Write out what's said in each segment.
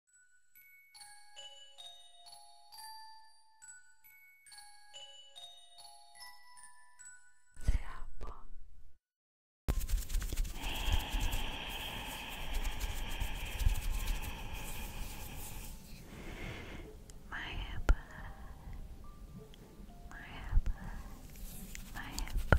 Zrapo. My apple, my apple, my apple,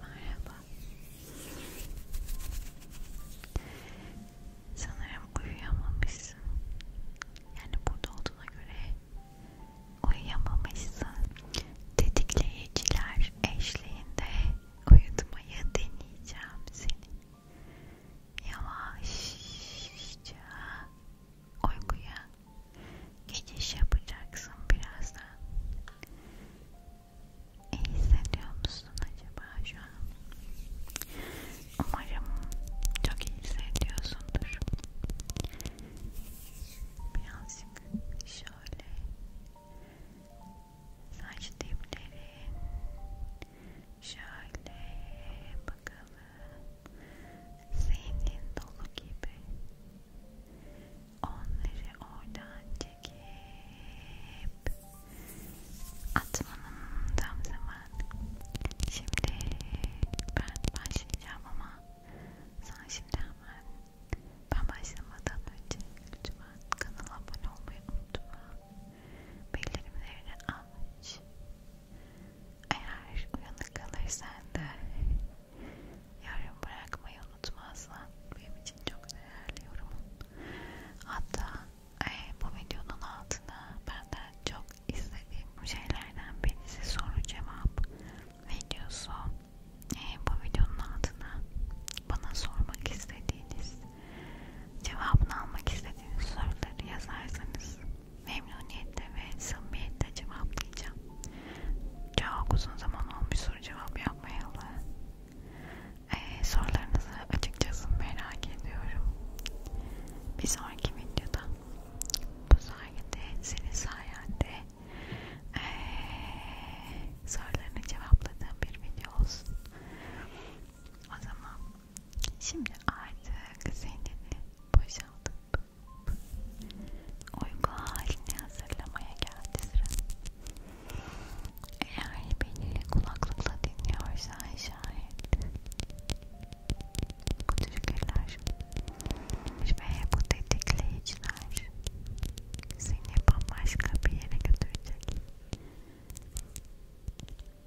Merhaba. Sanırım uyuyamamışsın. Yani burada olduğuna göre uyuyamamışsın. Tetikleyiciler eşliğinde uyutmayı deneyeceğim seni yavaşça uykuya geçiş yapacaksın birazdan. İyi hissediyor musun acaba şu an? Umarım çok iyi hissediyorsundur. Birazcık şöyle saç diplerin Şöyle bakalım. Zihnin dolu gibi. Onları oradan çekip atmanın tam zamanı. Şimdi ben başlayacağım ama sana şimdi hemen ben başlamadan önce lütfen kanala abone olmayı unutma. Bellerim üzerine almış. Eğer uyanık kalırsan da yorum bırakmayı unutmazsan benim için çok değerli yorumun. Hatta e, bu videonun altına benden çok istediğim bu şeylerden birisi soru cevap videosu. E, bu videonun altına bana sormak istediğiniz, cevabını almak istediğiniz soruları yazarsanız memnuniyetle ve samimiyetle cevaplayacağım. Çok uzun zaman olmuş soru cevap yapmayalı. Ee, sorularınızı açıkçası merak ediyorum. Bir sonraki videoda bu sayede senin sayende ee, sorularını cevapladığım bir video olsun. O zaman Şimdi artık seni boşaltıp uyku halini hazırlamaya geldi sıra. Eğer beni kulaklıkla dinliyorsan şayet bu tükürler ve bu tetikleyiciler seni bambaşka bir yere götürecek.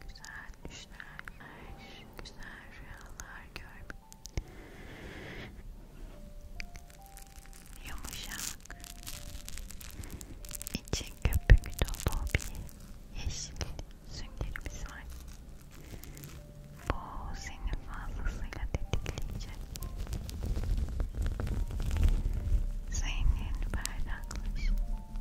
güzel düşler, güzel rüyalar görmek, yumuşak, içi köpük dolu bir yeşil süngerimiz var. Bu seni fazlasıyla tetikleyecek. Zeynin berraklaşır,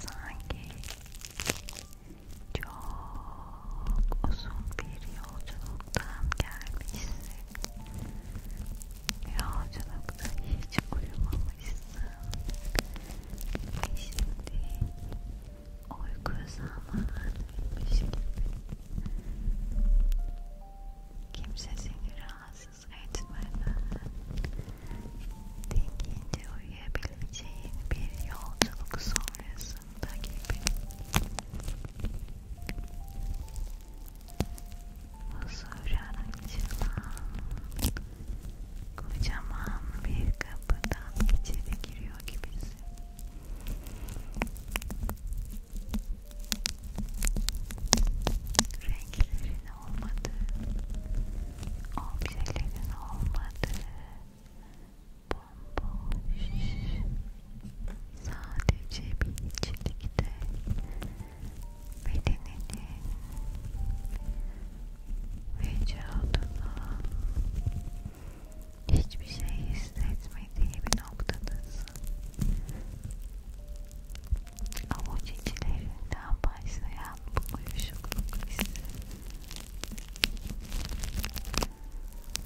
Sanki çok uzun bir yolculuktan gelmişsin. Yolculukta hiç uyumamışsın. Ve şimdi uyku zamanıymış gibi. Kimse seni rahatsız siz kaçmadan dingince uyuyabileceğin bir yolculuk sonrasında gibi huzura açılan kocaman bir kapıdan içeri giriyor gibisin renklerin olmadığı, objelerin olmadığı, bomboş, sadece bir içlikte bedeninin vücuduna hiçbir şey hissetmediği bir noktadasın. avucilerinden başlayan bu uyuşukluk hissi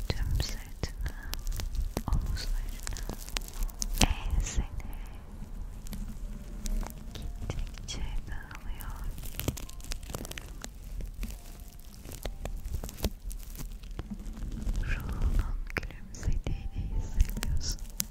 tüm sırtını, omuzlarını, enseni gittikçe dağılıyor. Ruhunun gülümsediğini hissediyorsun.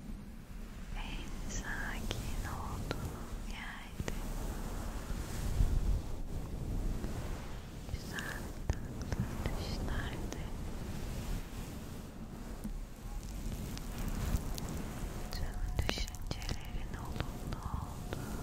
en sakin olduğun yerde güzel tatlı düşlerde tüm düşüncelerin olumlu olduğu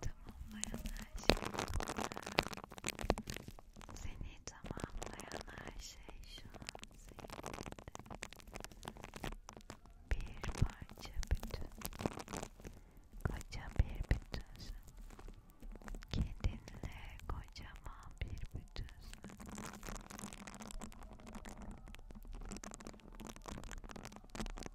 Tamamlayan her şey Seni tamamlayan her şey şu an zihninde. Bir parça bütün. Koca bir bütünsün. Kendinle kocaman bir bütünsün.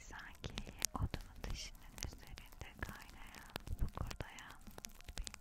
Sanki odunun dışının üzerinde kaynayan, fokurdayan bir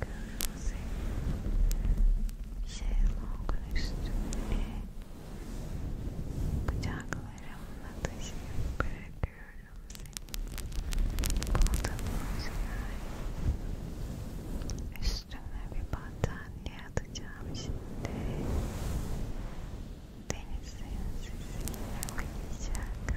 kırmızı şezlongun üstüne bıçaklarımla taşıyıp bırakıyorum seni koltuğumun üstüne üstüne bir battaniye atacağım şimdi denizin sesiyle uyuyacaksın